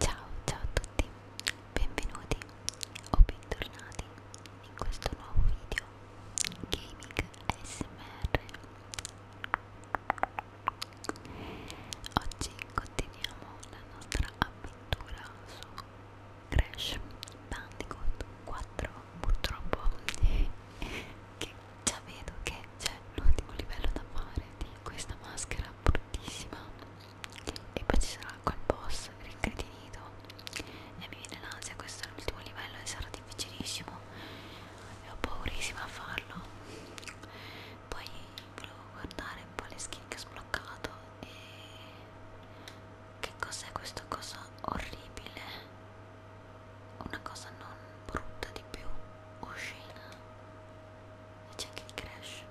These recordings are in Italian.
Ciao ciao a tutti, benvenuti o bentornati in questo nuovo video Gaming ASMR Oggi continuiamo la nostra avventura su Crash Bandicoot 4 Purtroppo che già vedo che c'è l'ultimo livello da fare di questa maschera fortissima e poi ci sarà quel boss rincretinito e mi viene l'ansia questo è l'ultimo livello e sarà difficilissimo e ho paurissima a farlo poi volevo guardare un po' le skin che ho sbloccato e che cos'è questa cosa orribile una cosa non brutta di più oscena e c'è anche il crash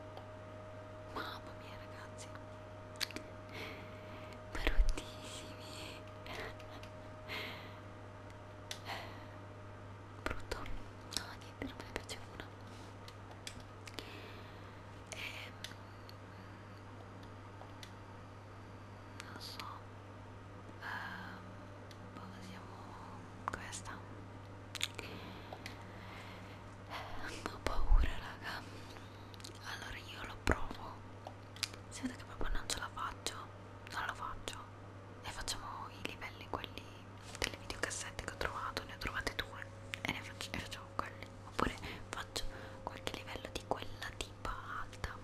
mamma mia ragazzi bruttissimi brutto no niente non me ne piace uno e, ehm, non so uh, siamo questa ho paura raga allora io lo provo si vede che proprio non ce la faccio non lo faccio e facciamo i livelli quelli delle videocassette che ho trovato ne ho trovate due e ne faccio, ne facciamo quelli oppure faccio qualche livello di quella tipa alta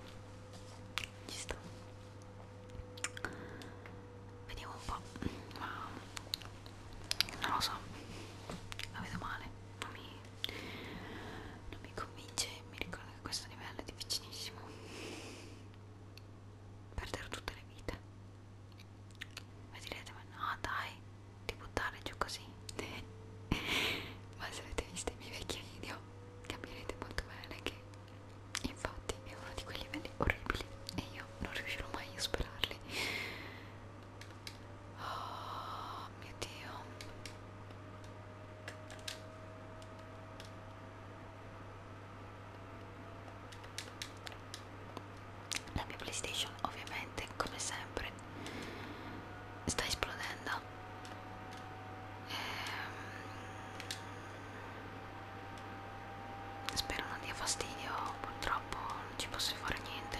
ci sta vediamo un po' ma non lo so la vedo male non mi, non mi convince mi ricordo che questo livello è difficilissimo perdere tutte le vite ma direte ma no dai di buttare giù così ma se avete visto i miei vecchi video capirete molto bene che infatti è uno di quei livelli orribili e io non riuscirò mai a superarli oh mio dio la mia playstation ovviamente come sempre sta esplodendo ehm spero non dia fastidio purtroppo non ci posso fare niente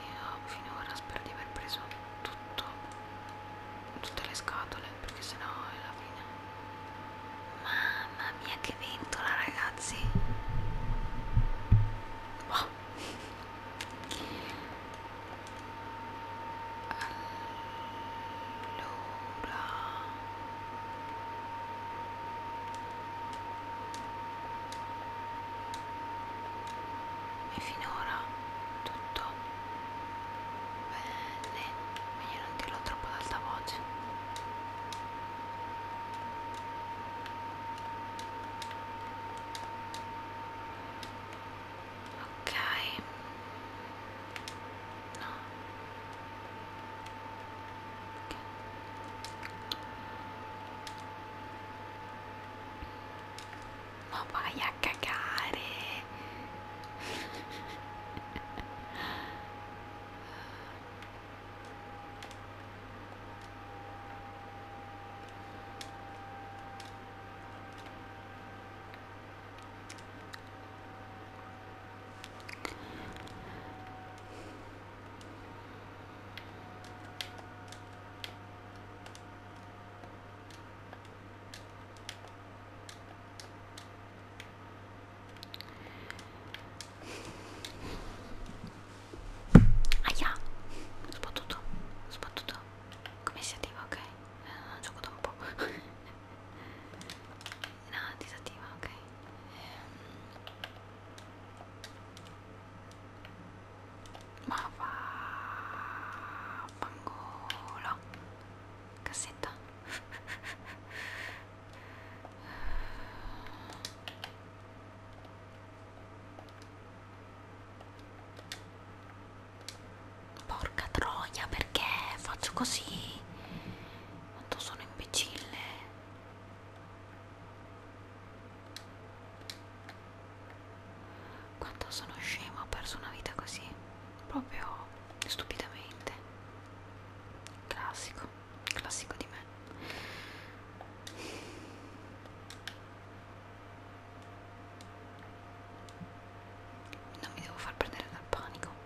io finora spero di aver preso tutto tutte le scatole perché sennò è la fine mamma mia che ventola ragazzi oh. allora e finora tutto bene meglio non dirlo troppo ad alta voce ok No. Okay. Ma vai a cagare. Aia, ho sbattuto, ho sbattuto. Come si attiva? Ok, eh, gioco da un po'. no, disattiva, ok ehm. ma va pangolo cassetta Porca troia, perché faccio così? Quanto sono imbecille. Quanto sono scema, ho perso una vita così, proprio stupidamente. Classico, classico di me. Non mi devo far prendere dal panico.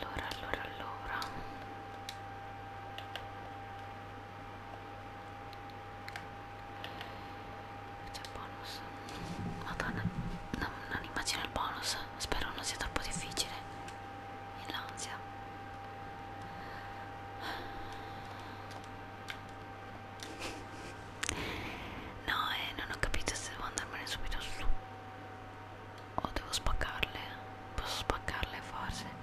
Allora, allora, allora. C'è il bonus. Madonna, non, non immagino il bonus. Spero non sia troppo difficile. E l'ansia. No, eh, non ho capito se devo andarmene subito su. O devo spaccarle. Posso spaccarle forse.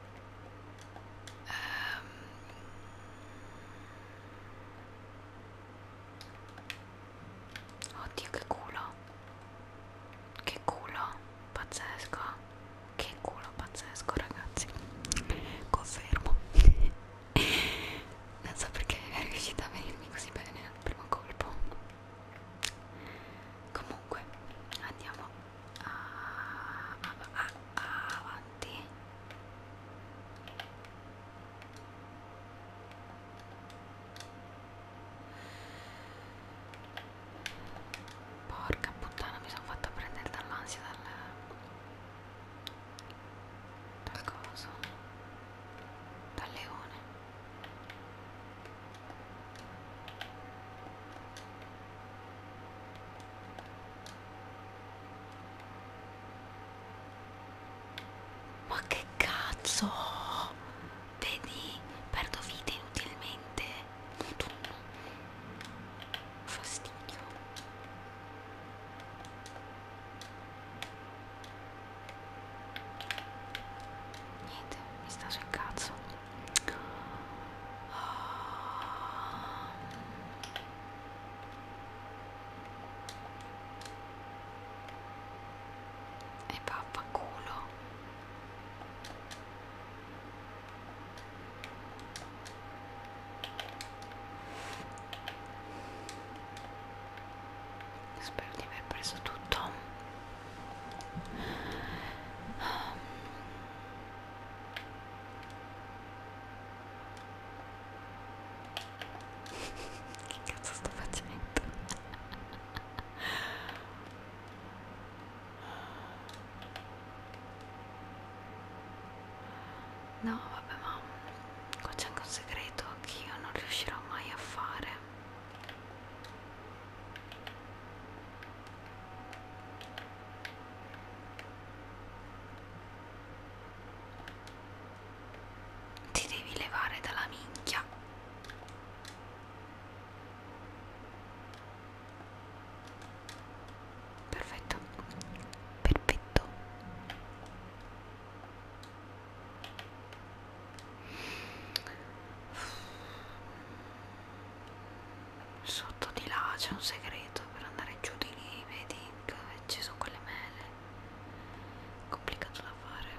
Um, oddio che culo che culo pazzesco che culo pazzesco ragazzi confermo non so perché è riuscita a venirmi così bene al primo colpo comunque andiamo ah, ah, ah, avanti porca puttana mi sono fatta prendere dall'ansia dal dal coso dal leone ma che cazzo? Vedi, perdo vite inutilmente. Madonna. Fastidio. Niente, mi sta sul cazzo e pappaculo spero di aver preso tutto che cazzo sto facendo? no vabbè ma qua c'è anche un segreto che io non riuscirò mai a fare ti devi levare dalla minchia perfetto perfetto sotto di là c'è un segreto per andare giù di lì vedi che ci sono quelle mele complicato da fare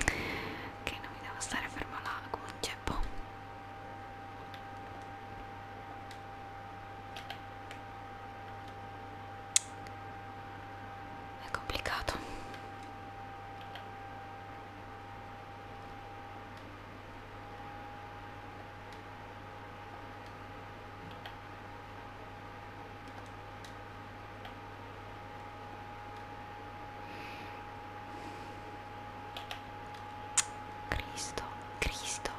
ok non mi devo stare fermo là come un ceppo è complicato Cristo, Cristo.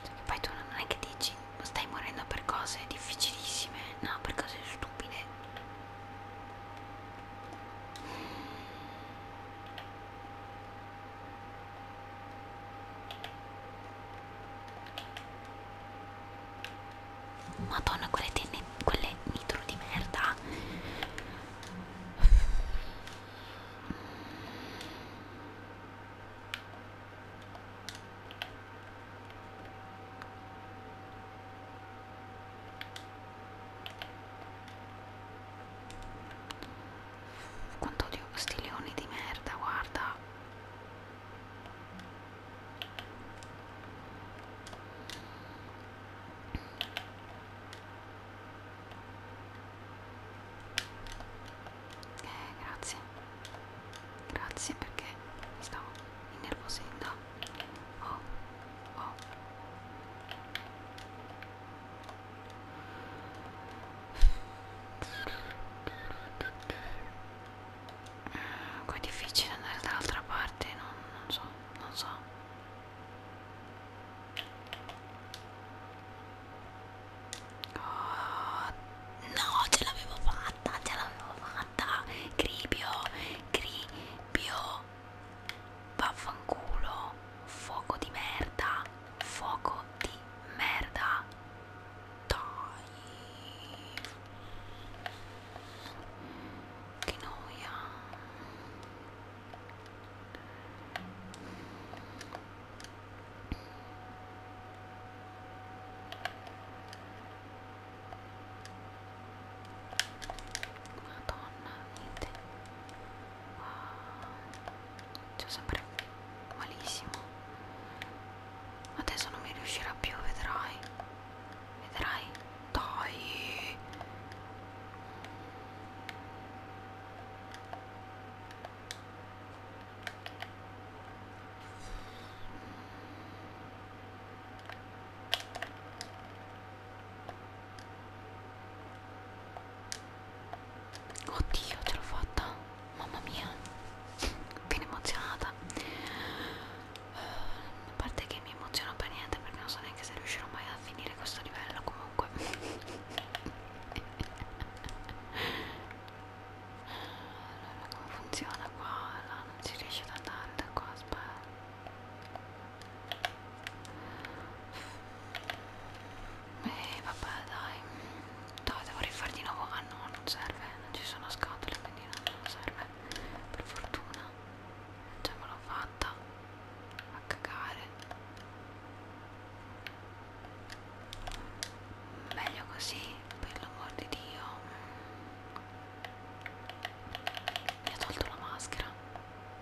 E cioè, poi tu non è che dici stai morendo per cose difficilissime, no, per cose stupide. Madonna, quelle, tenne, quelle nitro di merda. Quanto odio sti leoni di merda, guarda. Eh, grazie, grazie perché mi stavo innervosendo. Oh, oh. Mm, qua è difficile andare dall'altra parte, non, non so, non so. Oh, no, ce l'avevo fatta, ce l'avevo fatta. Gribio, gribio. Vaffanculo. Fuoco di merda. Fuoco di merda. Dai. Che noia. Madonna, niente. Wow. C'è sempre malissimo. Adesso non mi riuscirà più, vedrai. Vedrai. Dai. Oddio, ce l'ho fatta, mamma mia, viene emozionata. Uh, a parte che mi emoziono per niente perché non so neanche se riuscirò mai a finire questo livello comunque. Allora come funziona qua? Là non si riesce ad andare da qua, aspetta. E eh, vabbè dai. No, devo rifare di nuovo. Ah no, non serve, non ci sono scatole, quindi non, non serve. Per fortuna. Ce me l'ho fatta. A cagare meglio così per l'amor di Dio mi ha tolto la maschera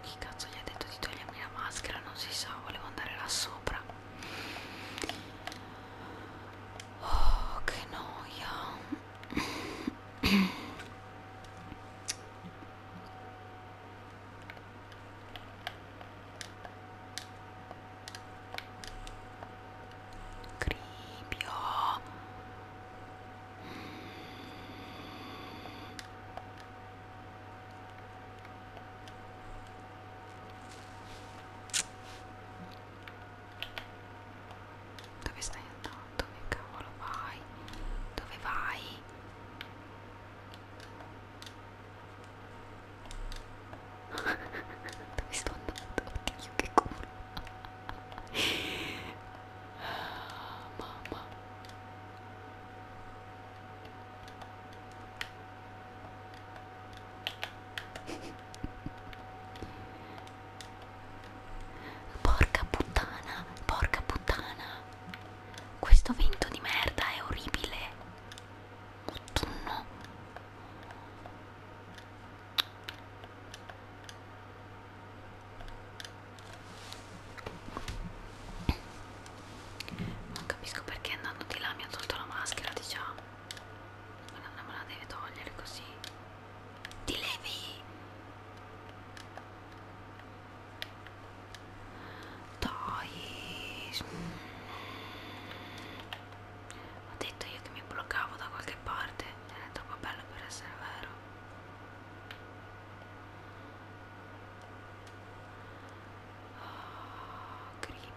chi cazzo gli ha detto di togliermi la maschera non si sa volevo andare là sopra oh che noia Cribio dove stai andando? Che cavolo vai? Dove vai? Dove sto andando? Oddio che culo ah, Mamma Porca puttana, porca puttana Questo vento di merda è orribile autunno non capisco perché andando di là mi ha tolto la maschera diciamo ma non me la deve togliere così ti levi dai ho detto io che mi bloccavo da qualche parte è troppo bello per essere vero oh, cribio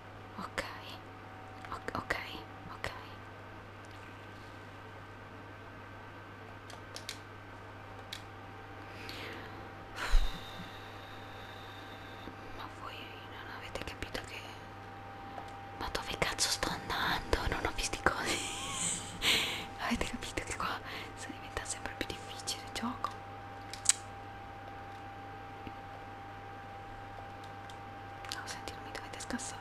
ok ok ok ok ma voi non avete capito che ma dove cazzo sto andando non ho visti cose avete capito che qua sta diventando sempre più difficile il gioco No, senti, non mi dovete scassare.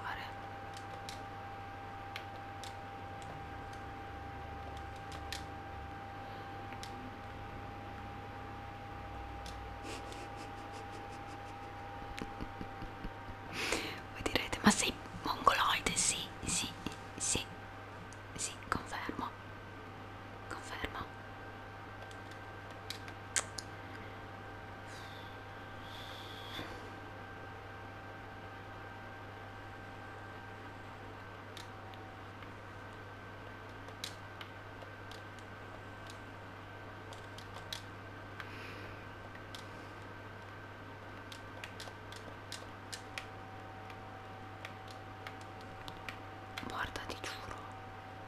Voi direte, ma sei mongoloide? Sì, sì, sì, sì, confermo. Confermo. Guarda, ti giuro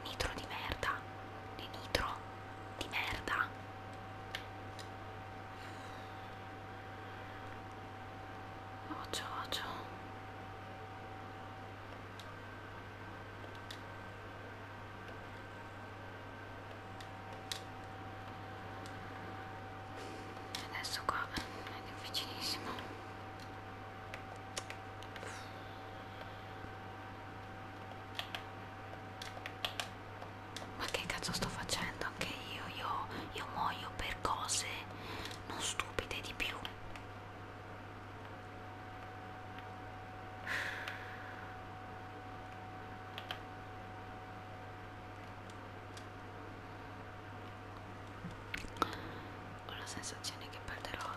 Nitro di merda. Di nitro di merda. Occhio, occhio. Adesso qua è difficilissimo. Ma che cazzo sto facendo anche io? Io, io muoio per cose non stupide di più. Ho la sensazione che perderò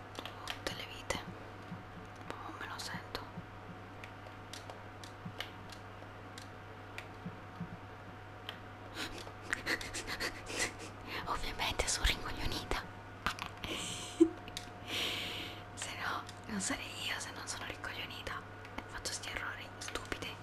tutte le vite ma boh, non me lo sento ovviamente sono rincoglionita se no non sarei io se non sono rincoglionita faccio sti errori stupidi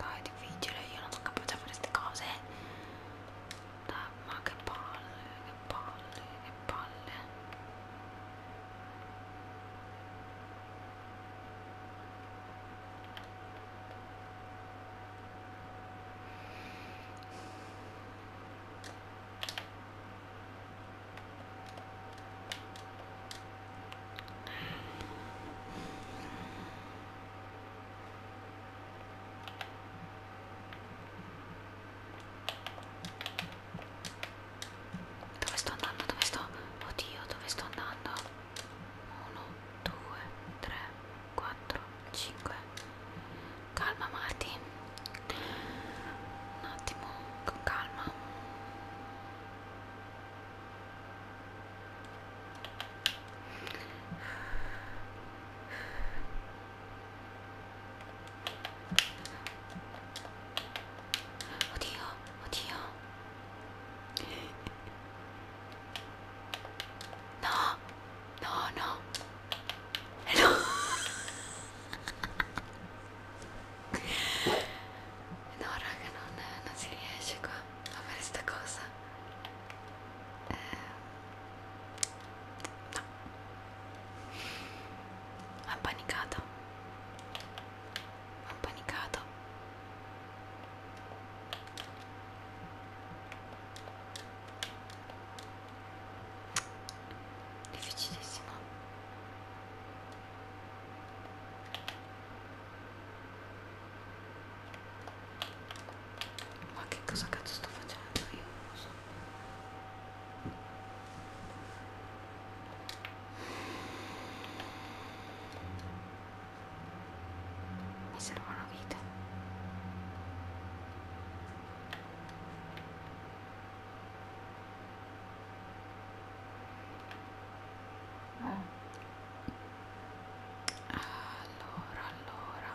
dai, è difficile, io non sono capace a fare queste cose. Dai, ma che palle, che palle, che palle dove sto andando? Dove sto? Oddio, dove sto andando? 1, 2, 3, 4, 5. Calma Marti. Un attimo, con calma. 어디요? 어디요? No, no, no. No. Ora che non, non si riesce qua a fare sta cosa. Eh, no. appanicata appanicata difficilissimo ma che cosa cazzo sto facendo io non so mi serve una vita. Ah. Allora, allora.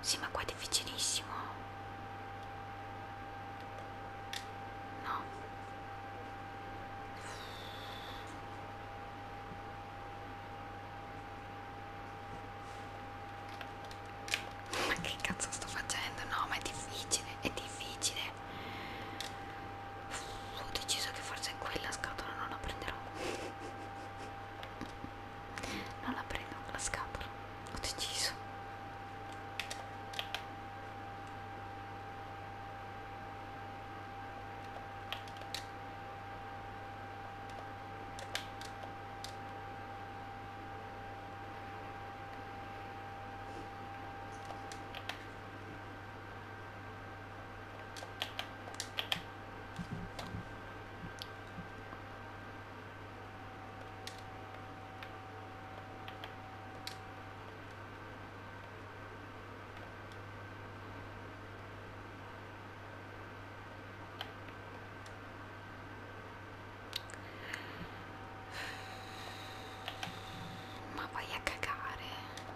Sì, ma qua è difficilissimo. No. Ma che cazzo sto facendo? No, ma è difficile, è difficile ho deciso che forse quella scatola non la prenderò non la prendo la scatola ho deciso ma vai a cagare.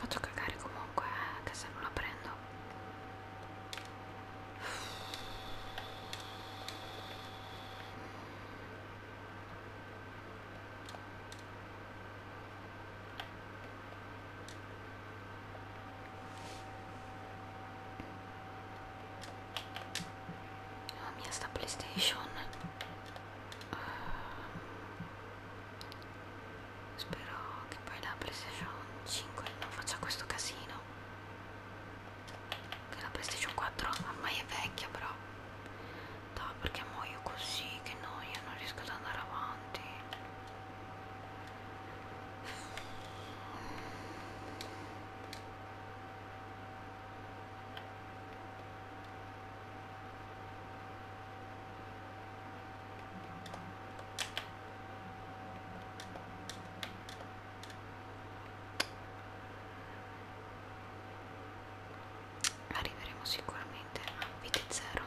Faccio cagare comunque, eh, che se non la prendo la mia sta playstation uh, spero che poi la playstation 5 non faccia questo casino che la playstation 4 ormai è vecchia però no perché muoio così che noia non riesco ad andare avanti arriveremo sicuramente a vite zero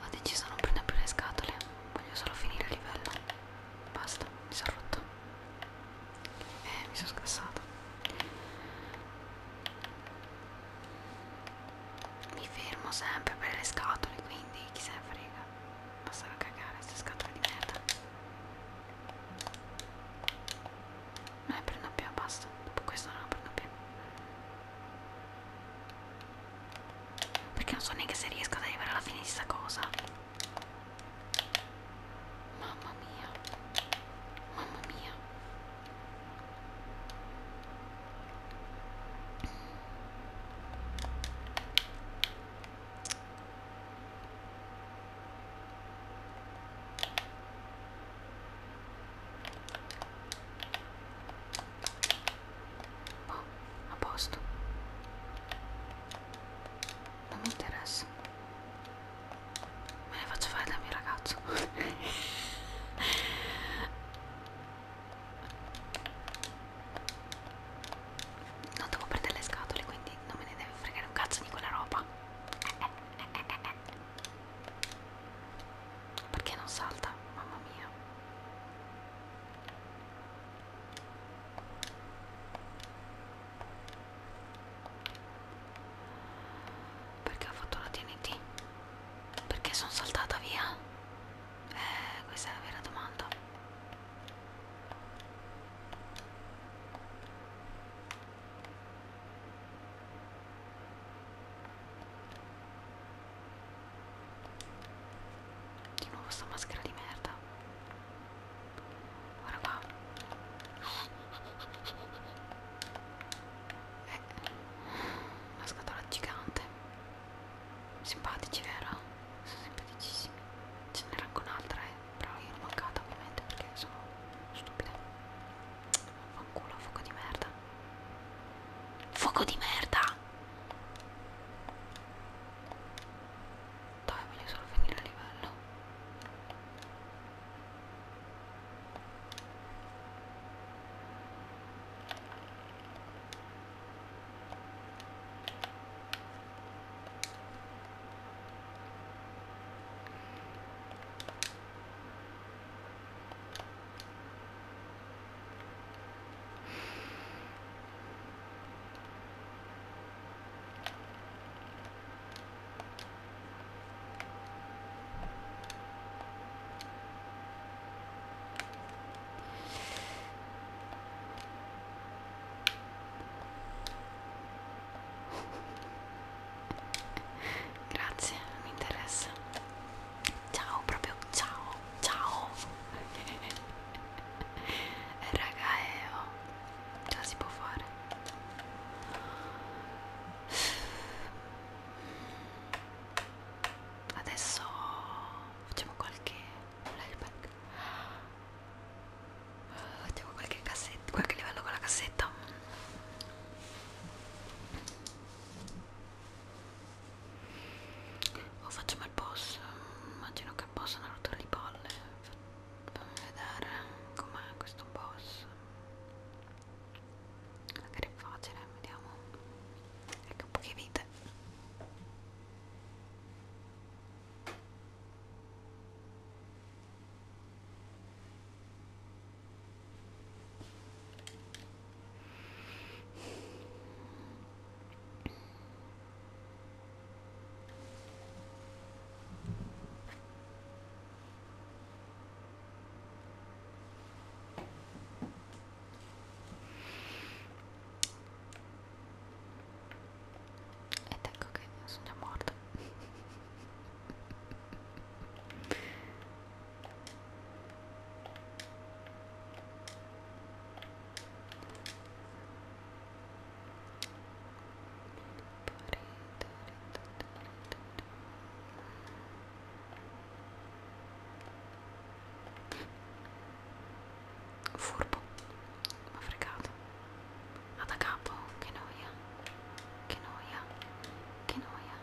ho deciso non prendere più le scatole voglio solo finire il livello basta mi sono rotto e eh, mi sono scassata mi fermo sempre per le scatole quindi chi se ne frega basta cagare queste scatole di merda non ne prendo più basta dopo questo non ne prendo più perché non so neanche se riesco ad arrivare alla fine di sta cosa. Mamma mia. Mamma mia. Boh, a posto. Non mi interessa. Me ne faccio fare dal mio ragazzo. non devo prendere le scatole, quindi non me ne deve fregare un cazzo di quella roba. Eh, eh, eh, eh, eh. Perché non salta? Mamma mia. Perché ho fatto la TNT? Perché sono saltata via? Eh, questa è la vera domanda. Di nuovo sta maschera di merda. Guarda qua. Eh, una scatola gigante. Simpatici, vero? Sono simpaticissimi. Ce n'era anche un'altra, eh. Però io l'ho mancata ovviamente perché sono stupida. Fanculo, fuoco di merda. Fuoco di merda. Dove voglio solo finire a livello? Grazie, mi interessa ciao proprio ciao ciao raga eh, oh. già si può fare adesso facciamo qualche flashback facciamo qualche cassetta qualche livello con la cassetta o oh, facciamo il boss immagino che possano rotare le palle fammi vedere com'è questo boss magari è facile vediamo ecco poche vite ed ecco che sono già morta Furbo, ma fregato. Ad a capo, che noia, che noia, che noia.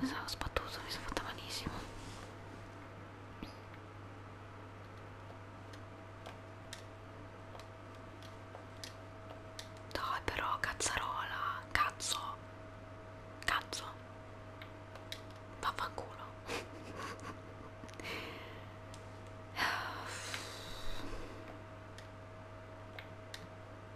Mi sono sbattuto, mi sono fatta malissimo. Dai però, cazzarola, cazzo, cazzo, vaffanculo.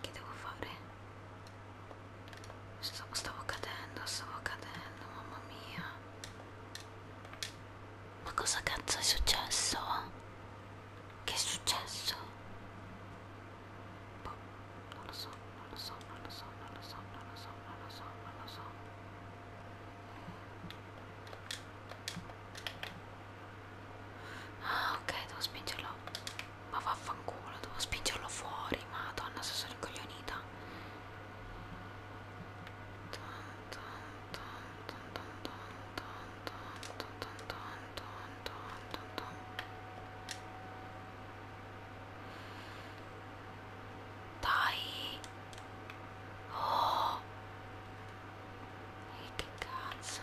che devo fare? Stavo, stavo cadendo, stavo cadendo, mamma mia. Ma cosa cazzo è successo? Che è successo? Boh, non lo so, non lo so, non lo so, non lo so, non lo so, non lo so, non lo so. Ah, ok, devo spingerlo. Ma vaffanculo, devo spingerlo fuori, madonna se sono incoglionita. Dai! Oh! E che cazzo?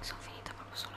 sono finita proprio sulla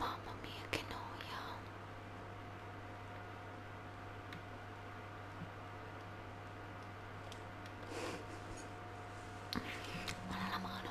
Mamma mia qué noia Mala la mano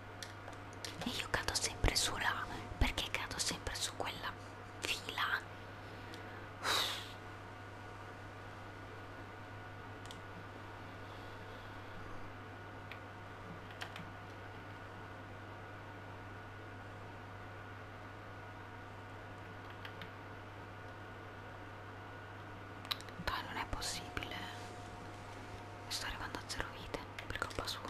e io cado sempre su là perché cado sempre su quella fila Dai, non è possibile. Mi sto arrivando a zero vite per colpa sua.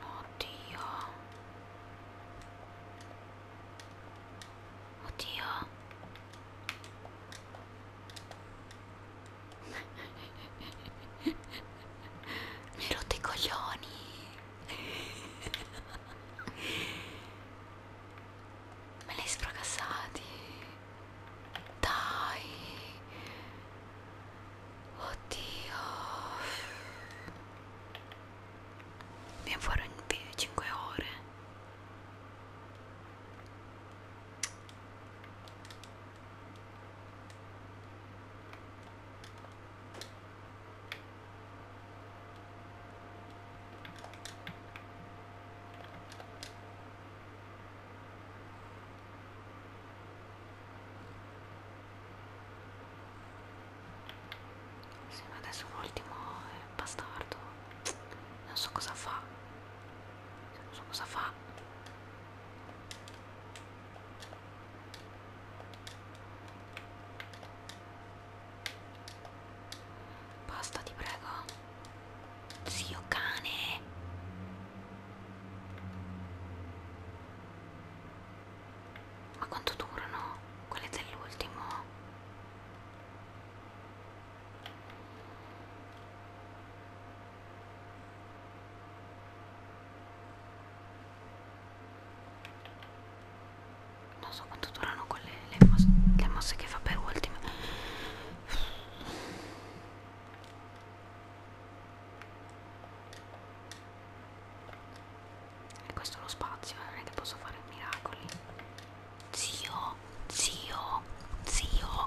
Oddio. Oddio. Mi hai rotto i coglioni. Me li hai sfracassati. Dai. Oddio. Viene fuori in 5 ore. Sì, ma adesso l'ultimo è bastardo. Non so cosa fa. Cioè, non so cosa fa. Basta, ti prego. Zio cane. Ma quanto durano quelle dell'ultimo? Non so quanto durano quelle le mosse, le mosse che fa per ultime. E questo è lo spazio, eh? non è che posso fare miracoli. Zio, zio, zio.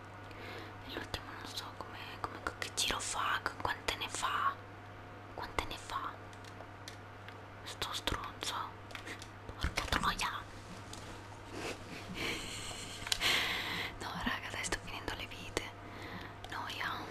l'ultimo non so come, come che giro fa quante ne fa quante ne fa sto stronzo porca troia no raga dai sto finendo le vite noia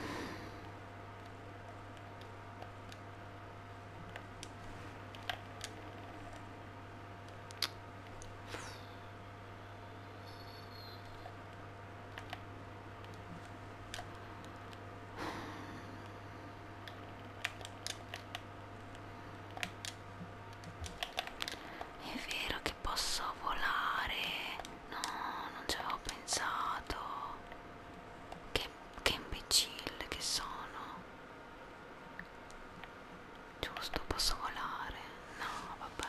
è vero che posso volare. No, non ci avevo pensato. Che, che imbecille che sono. Giusto, posso volare. No, vabbè.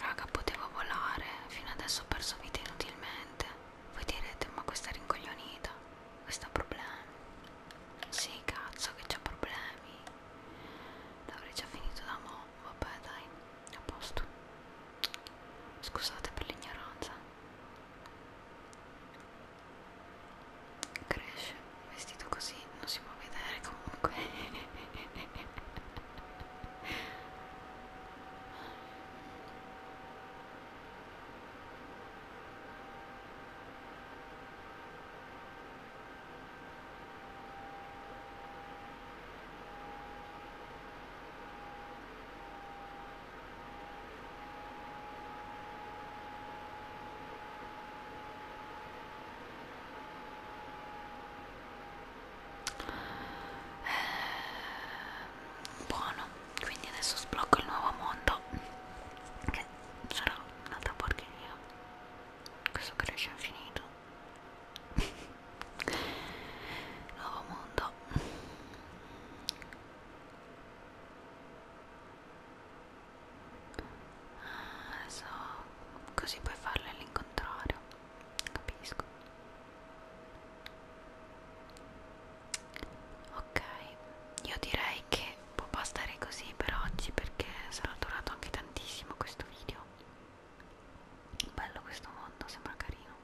Raga, potevo volare, fino adesso ho perso vite inutilmente. Voi direte, ma questa rincoglionita. Questo ha problemi. Sì, cazzo che c'ha problemi. L'avrei già finito da mo. Vabbè dai, a posto. Scusate per l'ignoranza. Cresce, vestito così non si può vedere comunque. Eh, buono quindi adesso sblocco il nuovo mondo che che sarà un'altra porcheria questo cresce infinito nuovo mondo ah, adesso così puoi farlo all'incontrario capisco ok io direi che può bastare così per oggi perché sarà durato anche tantissimo questo video bello questo mondo sembra carino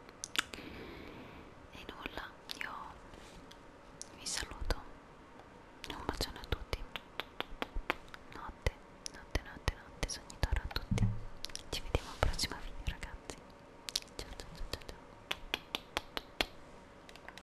e nulla io vi saluto un bacione a tutti notte notte notte notte sognitore a tutti ci vediamo al prossimo video ragazzi ciao ciao ciao ciao, ciao.